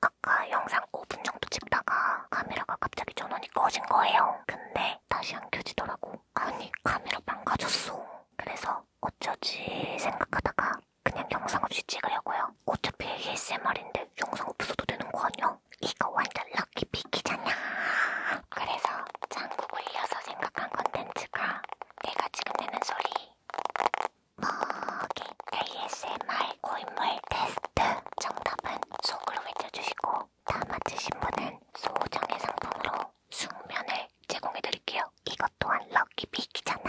아까 영상 5분 정도 찍다가 카메라가 갑자기 전원이 꺼진 거예요. 근데 다시 안 켜지더라고. 아니 카메라 망가졌어. 그래서 어쩌지 생각하다가 그냥 영상 없이 찍으려고요. 어차피 ASMR인데 영상 없어도 되는 거 아니야? 이거 완전 럭키 비키잖아. 그래서 장국 올려서 생각한 컨텐츠가 내가 지금 내는 소리 먹이 ASMR 고인물 테스트 정답은 속으로 외쳐주시고 다 맞히신 분은 소정의 상품으로 숙면을 제공해드릴게요. 이것 또한 럭키 비키잖아.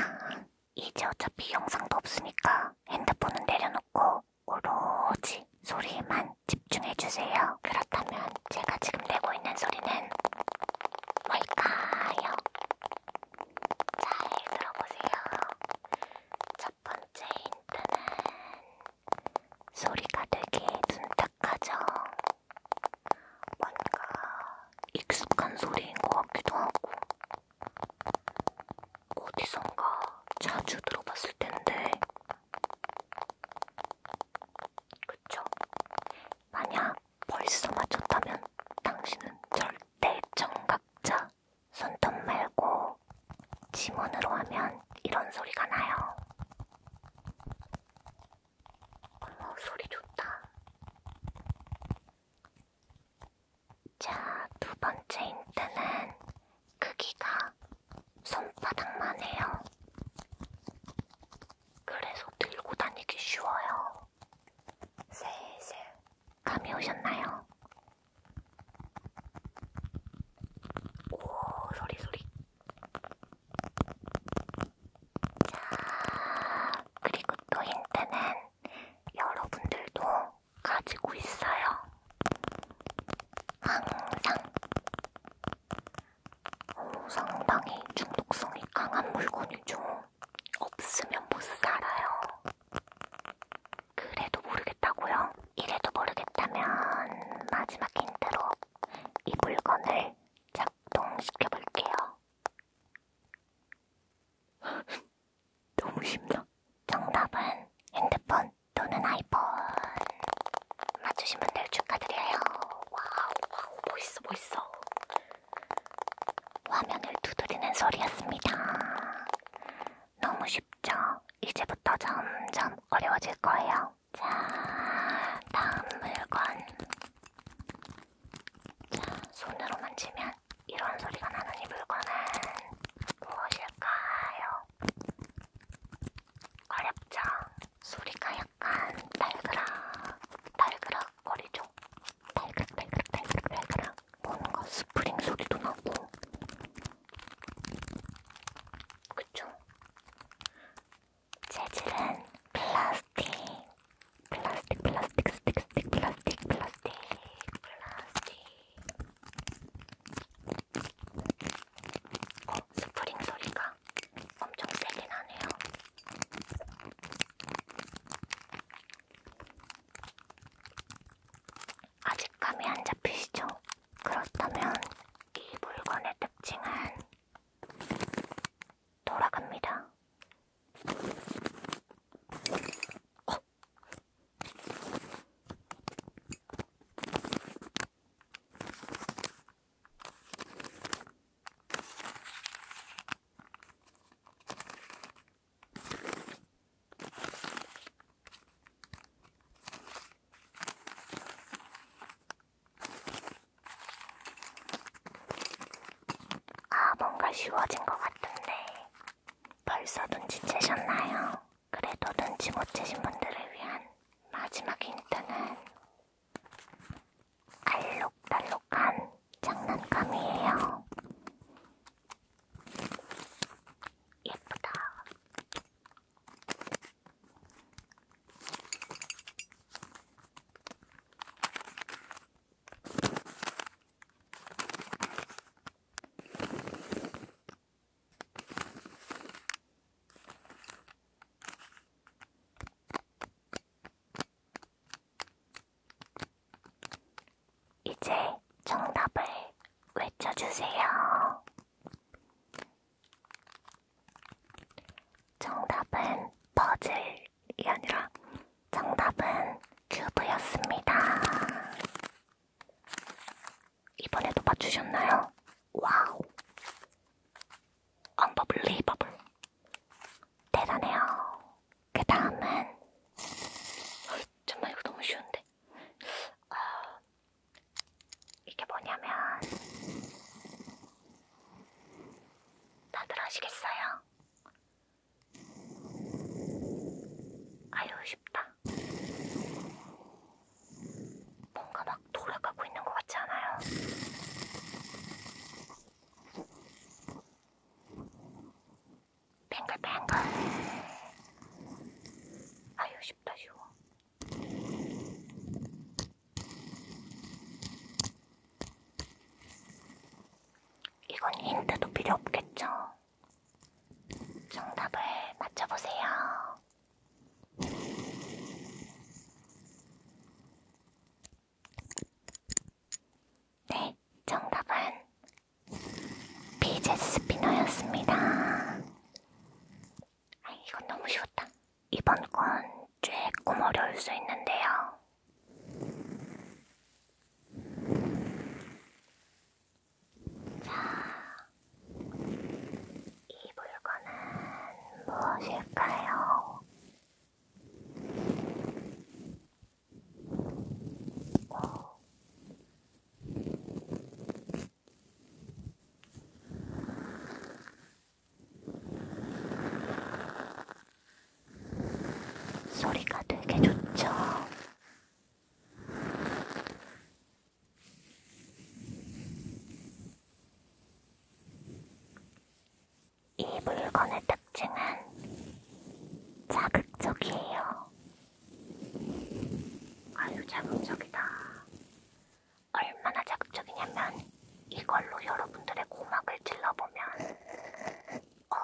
이제 어차피 영상도 없으니까 핸드폰은 내려놓고 오로지 소리에만 집중해주세요. 그렇다면 제가 지금 내고 있는 소리는 뭘까요? 잘 들어보세요. 첫 번째 힌트는 소리가 되게 둔탁하죠. 뭔가 익숙한 소리인 것 같기도 하고 어디선가 자주 들어봤을 텐데 그쵸? 만약 벌써 맞췄다면 당신은 절대 정각자 손톱 말고 지문으로 하면 이런 소리가 나요. 어, 소리 좋다. 자, 두 번째 힌트는 크기가 손바닥만 해요. 그래서 들고 다니기 쉬워요. 슬슬 감이 오셨나요? 오 소리 소리. 자 그리고 또 힌트는 여러분들도 가지고 있어요. 항상. 오, 상당히 중독성이 강한 물건이죠. 없으면 못 살아요. 그래도 모르겠다고요? 이래도 모르겠다면 마지막 힌트로 이 물건을 작동시켜 볼게요. 너무 쉽나? 정답은 핸드폰 또는 아이폰. 맞추신 분들 축하드려요. 와우, 와우, 멋있어, 멋있어. 화면을 두드리는 소리였습니다. 너무 쉽죠? 이제부터 점점 어려워질 거예요. 자, 다음 물건. 자, 손으로 만지면 이런 소리가 나는 이 물건은 무엇일까요? 어렵죠? 소리가 약간 달그락, 달그락 거리죠? 달그락달그락달그락달그락 뭔가 스프링 소리도 나고 그쵸? 재질은 플라스틱 플라스틱 플라스틱 스틱 스틱 플라스틱 플라스틱 플라스틱 어? 스프링 소리가 엄청 세게 나네요 아직 감이 안 잡히시죠? 그렇다면 이 물건의 특징은 돌아갑니다. 어? 아, 뭔가 쉬워진 것 같은데 벌써 눈치 채셨나요? 그래도 눈치 못 채신 분들을 위한 마지막 힌트는 알록달록한 장난감이에요. 예쁘다. 이제 정답을 외쳐주세요. 정답은 퍼즐이 아니라 정답은 큐브였습니다. 이번에도 맞추셨나요? 와우! 언더블리버블 대단해요. 그 다음은 정말 이거 너무 쉬운데 어, 이게 뭐냐면 다들 아시겠어요? 아유 쉽다 뭔가 막 돌아가고 있는 것 같지 않아요? 뱅글뱅글 아유 쉽다 쉬워 이건 힌트도 필요 없겠죠? 정답을 맞춰보세요. 네, 정답은 비제스 스피너였습니다. 아, 이건 너무 쉬웠다. 이번 건 조금 어려울 수 있는데요. 자, 이 물건은 무엇일까요? 소리가 되게 좋죠. 이 물건의 특징은 자극적이에요. 아유, 자극적이다. 얼마나 자극적이냐면, 이걸로 여러분들의 고막을 찔러보면, 어,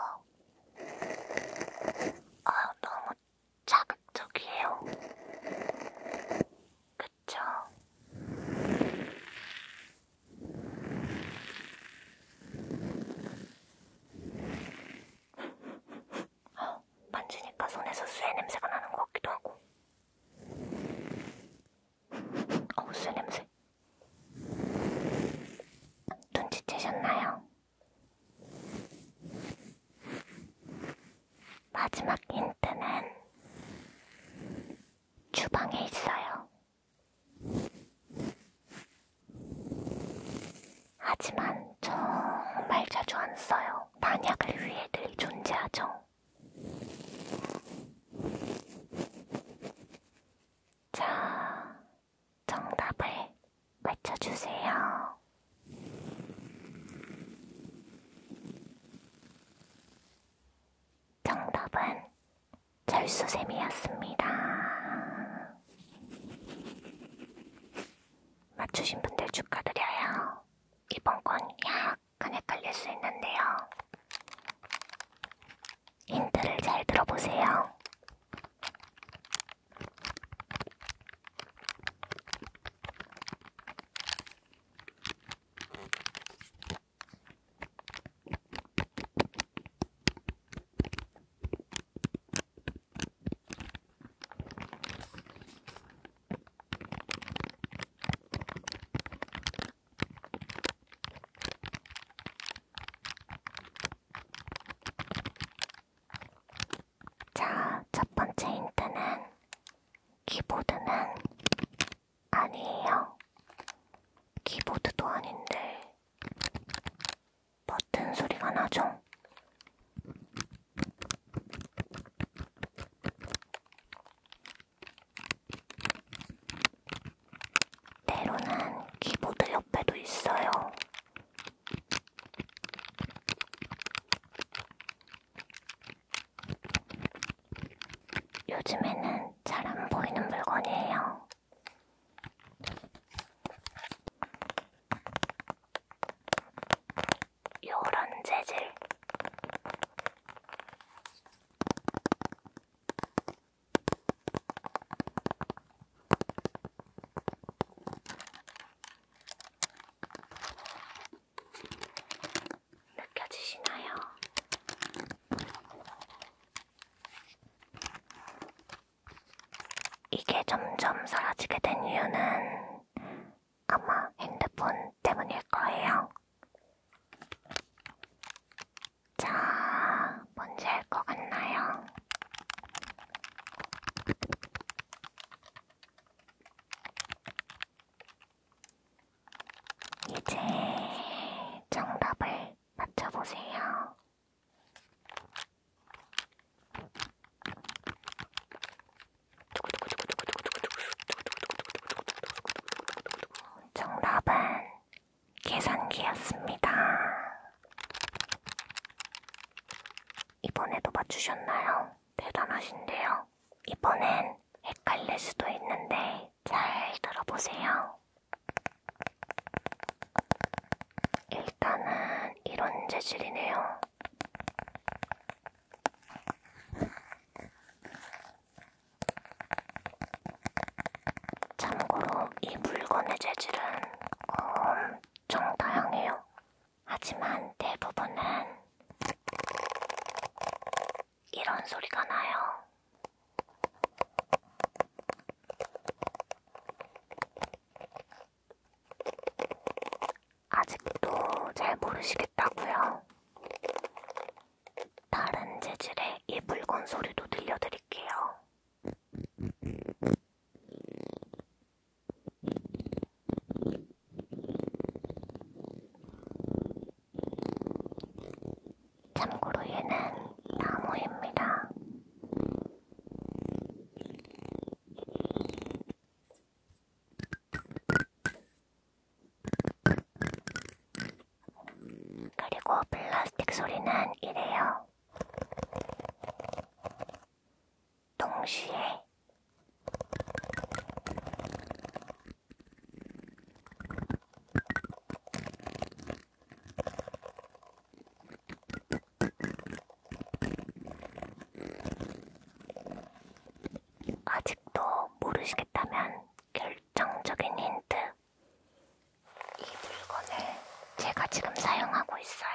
어, 너무 자극적이에요. 그 있죠. 어, 만지니까 손에서 쇠 냄새가 나는 것 같기도 하고. 어우, 쇠 냄새. 눈치채셨나요? 마지막 힌트는 주방에 있어요. 하지만 정말 자주 안 써요. 만약을 위해 늘 존재하죠. 자, 정답을 맞춰주세요. 정답은 절수샘이었습니다. 맞추신 분들 축하드려요. 이번 건 약간 헷갈릴 수 있는데요. 힌트를 잘 들어보세요. 자, 첫 번째 힌트는 키보드는 아니에요. 키보드도 아닌데 버튼 소리가 나죠? 때로는 키보드 옆에도 있어요. 요즘에는 잘 안 보이는 물건이에요. 요런 재질. 느껴지시나요? 이게 점점 사라지게 된 이유는 아마 핸드폰 때문일 거예요. 자, 뭔지 알 것 같나요? 이제 정답을 맞춰보세요. 정답은 계산기였습니다. 이번에도 맞추셨나요? 대단하신데요. 이번엔 보면 헷갈릴 수도 있는데 잘 들어보세요. 일단은 이런 재질이네요. 참고로 이 물건의 재질은 엄청 다양해요. 하지만 대부분은 이런 소리가 나요. 아직도 잘 모르시겠다고요? 다른 재질의 이 물건 소리도 들려드릴게요. 참고로 얘는 나무입니다. 그리고 플라스틱 소리는 이래요. 동시에 아직도 모르시겠다면 결정적인 힌트. 이 물건을 제가 지금 사용하고 있어요.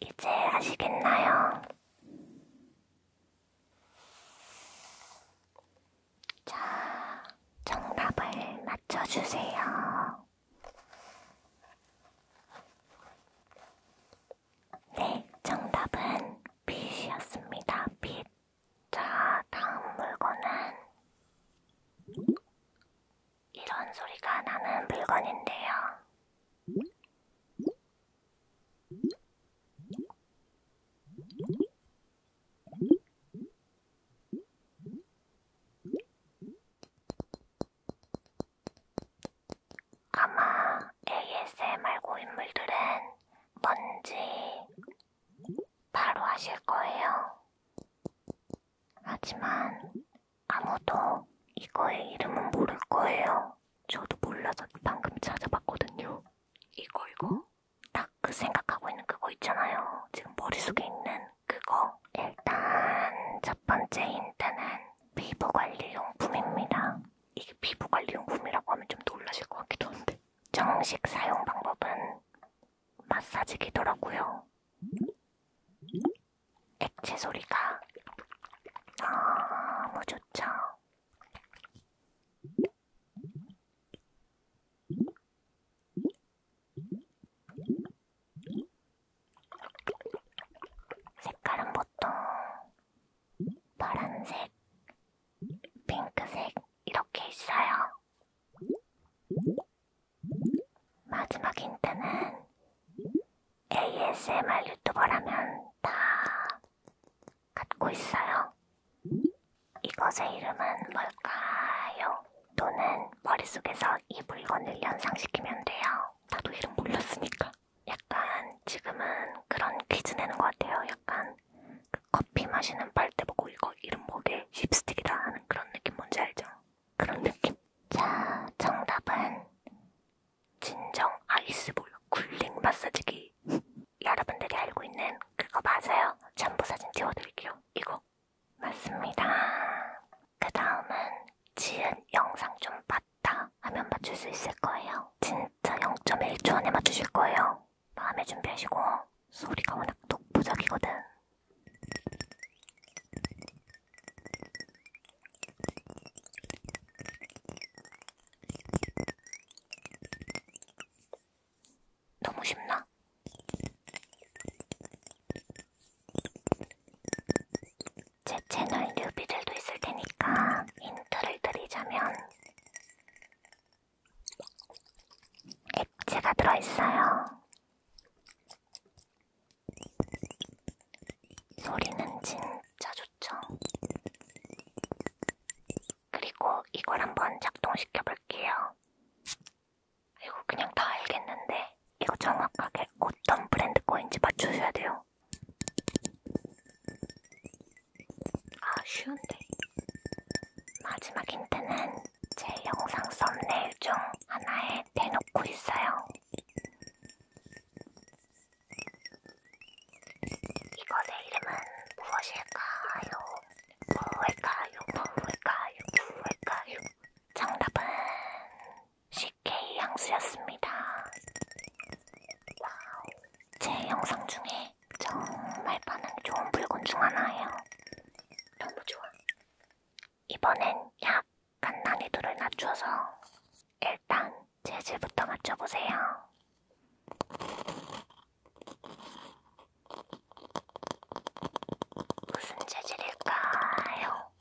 이제 아시겠나요? 자, 정답을 맞춰주세요. 네, 정답은 빛이었습니다. 빛. 자, 다음 물건은 이런 소리가 나는 물건인데요. 아마 ASMR 고인물들은 뭔지 바로 아실 거예요. 하지만 아무도 이거의 이름은 모를 거예요. 저도 몰라서 방금 찾아봤거든요. 이거 이거? 딱 그 생각하고 있는 그거 있잖아요. 지금 머릿속에 있는 그거. 일단 첫 번째 힌트는 피부 관리 용품입니다. 이게 피부관리용품이라고 하면 좀 놀라실 것 같기도 한데 정식 사용 방법은 마사지기더라고요. 액체 소리가 너무 좋죠. 색깔은 보통 파란색, 핑크색 이렇게 있어요. 마지막 힌트는 ASMR 유튜버라면 다 갖고 있어요. 이것의 이름은 뭘까요? 너는 머릿속에서 이 물건을 연상시키면 돼요. 나도 이름 몰랐으니까. 약간 지금은 그런 퀴즈 내는 것 같아요. 약간 그 커피 마시는 빨대 보고 이거 이름 뭐게 립스틱이다 하는 그런 느낌 뭔지 알죠? 그런 느낌. 자, 정답은 진정 아이스볼 굴링 마사지기. 여러분들이 알고 있는 그거 맞아요. 첨부 사진 띄워드릴게요. 이거 맞습니다. 그 다음은 지은 영상 좀 봤. 맞다 하면 맞출 수 있을 거예요. 진짜 0.1초 안에 맞추실 거예요. 마음에 준비하시고 소리가 워낙 독보적이거든. 너무 쉽나? 제 채널 뉴비들도 있을 테니까 하나 힌트를 드리자면 액체가 들어있어요. 소리는 진짜 좋죠. 그리고 이걸 한번 작동시켜 볼게요. 이거 그냥 다 알겠는데 이거 정확하게 어떤 브랜드 거인지 맞추셔야 돼요. 아 쉬운데 마지막 힌트는 제 영상 썸네일 중 하나에 대놓고 있어요. 이것의 이름은 무엇일까요? 무엇일까요? 무엇일까요? 무엇일까요? 정답은 CK 향수였습니다. 와우. 제 영상 중에 정말 반응 좋은 물건 중 하나예요. 너무 좋아. 이번엔 약간 난이도를 낮춰서 일단 재질부터 맞춰보세요. 무슨 재질일까요?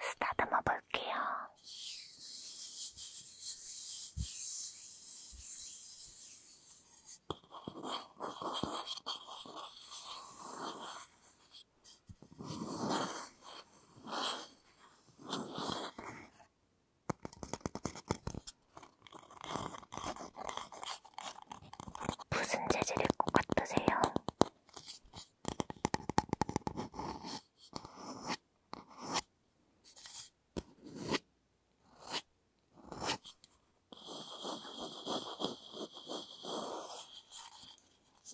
쓰다듬어 볼게요. 무슨 재질일 것 같으세요?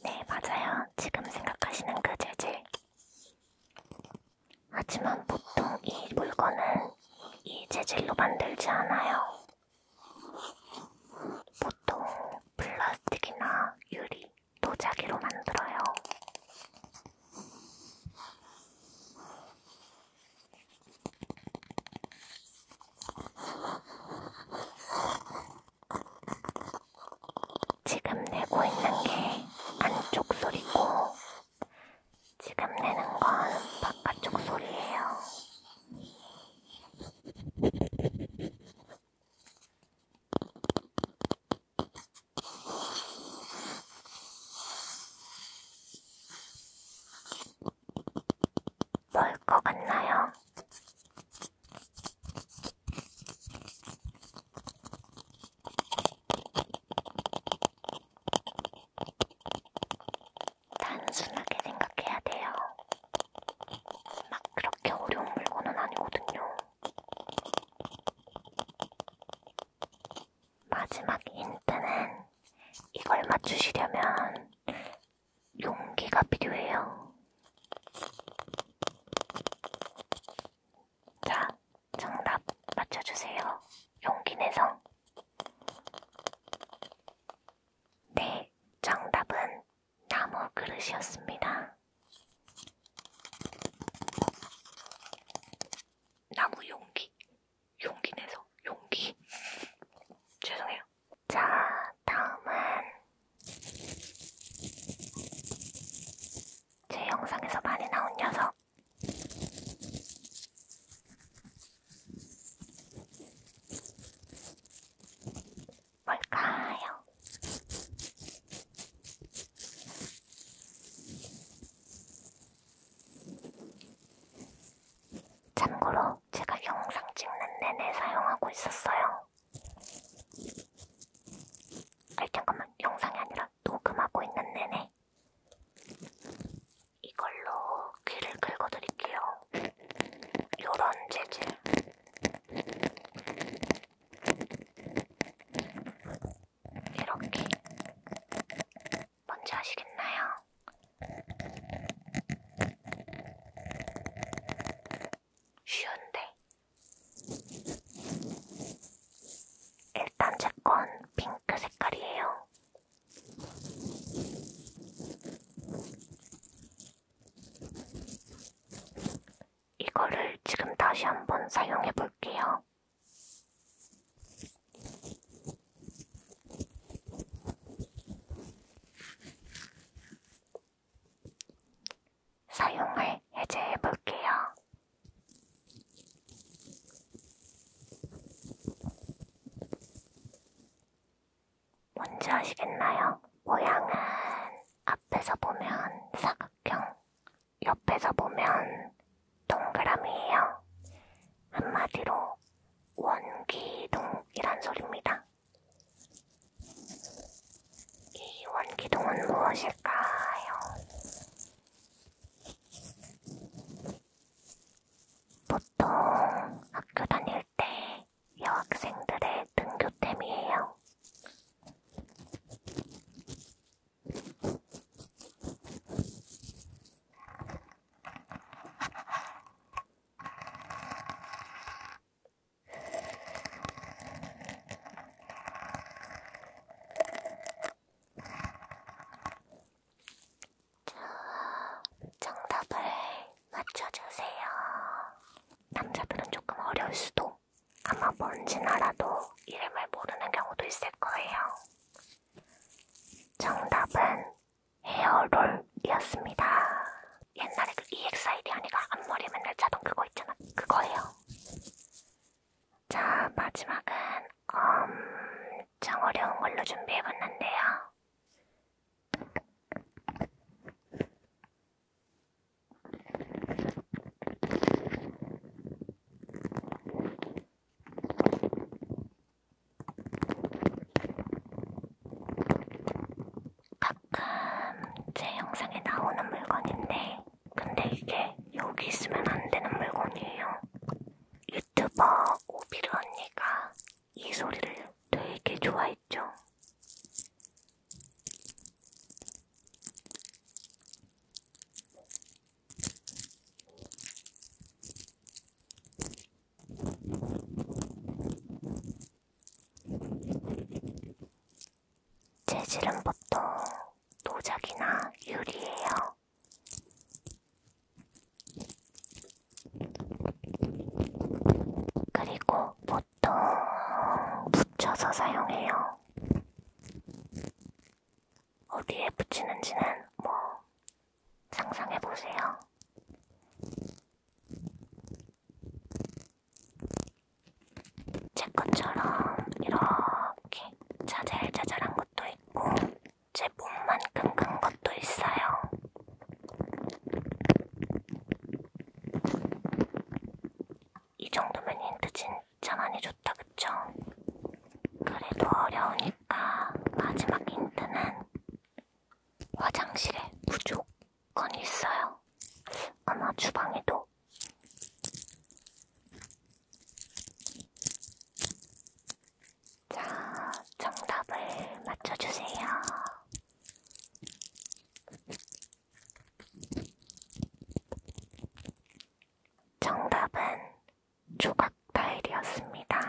네, 맞아요. 지금 생각하시는 그 재질. 하지만 보통 이 물건은 이 재질로 만들지 않아요. 보통 플라스틱이나 유리, 도자기로 만들어요. 지금 내고 있는 게 안쪽 소리고 지금 내는 건 바깥쪽 소리예요. 뭘 것 같나요? 단순하게 생각해야 돼요. 막 그렇게 어려운 물건은 아니거든요. 마지막 힌트는 이걸 맞추시려면 용기가 필요해요. 자, 정답 맞춰주세요. 용기 내성. 네, 정답은 나무 그릇이었습니다. 나무 용기. 용기 내서 용기. 죄송해요. 자, 다음은 제 영상에서 많이 나온 녀석. 뭘까요? 참고로 제가 영상 찍는 내내 사용하고 있었어요. 아니 잠깐만 영상이 아니라 녹음하고 있는 내내 이걸로 귀를 긁어드릴게요. 요런 재질. 이렇게. 뭔지 아시겠나요? 쉬운데. 일단 제건 핑크 색깔이에요. 이거를 지금 다시 한 번 사용해 볼게요. 사용을 해제해 볼게요. 뭔지 아시겠나요? 모양은 앞에서 보면 사각형, 옆에서 보면 동그라미예요. 한마디로 원기둥이란 소리입니다. 이 원기둥은 무엇일까요? 보통 학교 다닐 때 여학생들의 등교템이에요. 정답을 맞춰주세요. 남자들은 조금 어려울 수도, 아마 뭔지 알아도 이름을 모르는 경우도 있을 거예요. 정답은 헤어롤이었습니다. 옛날에 그 EXID 아니가 앞머리 맨날 자동 그거 있잖아. 그거예요. 자, 마지막은 엄청 어려운 걸로 준비해봤는데요. 가끔 제 영상에 나오는 물건인데, 근데 이게 여기 있으면 안 되는 물건이에요. 유튜버 오비루 언니가 이 소리를 되게 좋아했죠. 재질은 보통 노작이나 유리예요. 그리고 보통 붙여서 사용해요. 어디에 붙이는지는 뭐 상상해 보세요. 제 것처럼 이렇게 자잘자잘한 것도 있고 제 몸만큼 큰 것도 있어요. 이 정도면 힌트 진짜 많이 줬다 그쵸? 그래도 어려우니까 마지막 힌트는 화장실에 무조건 있어요. 아마 주방에도 자, 정답을 맞춰주세요. 정답은 조각 타일이었습니다.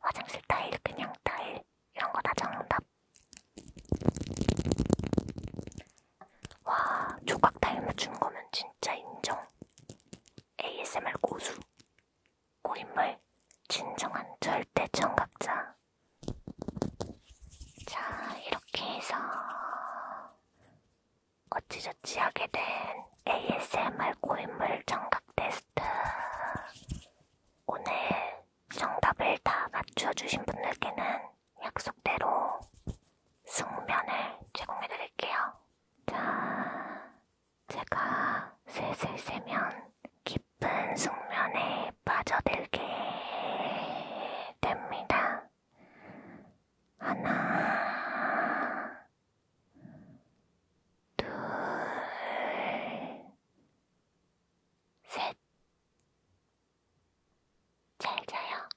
화장실 타일, 그냥 타일, 이런 거 다 정답. 와, 조각 닮아준 거면 진짜 인정. ASMR 고수. 고인물, 진정한 절대 청각자. 자, 이렇게 해서 어찌저찌 하게 된 ASMR 고인물 청각 테스트. 오늘 정답을 다 맞춰주신 분들께는 약속대로 숙면을 제공해드릴게요. 자, 제가 슬슬 세면 깊은 숙면에 빠져들게 됩니다. 하나, 둘, 셋. 잘 자요.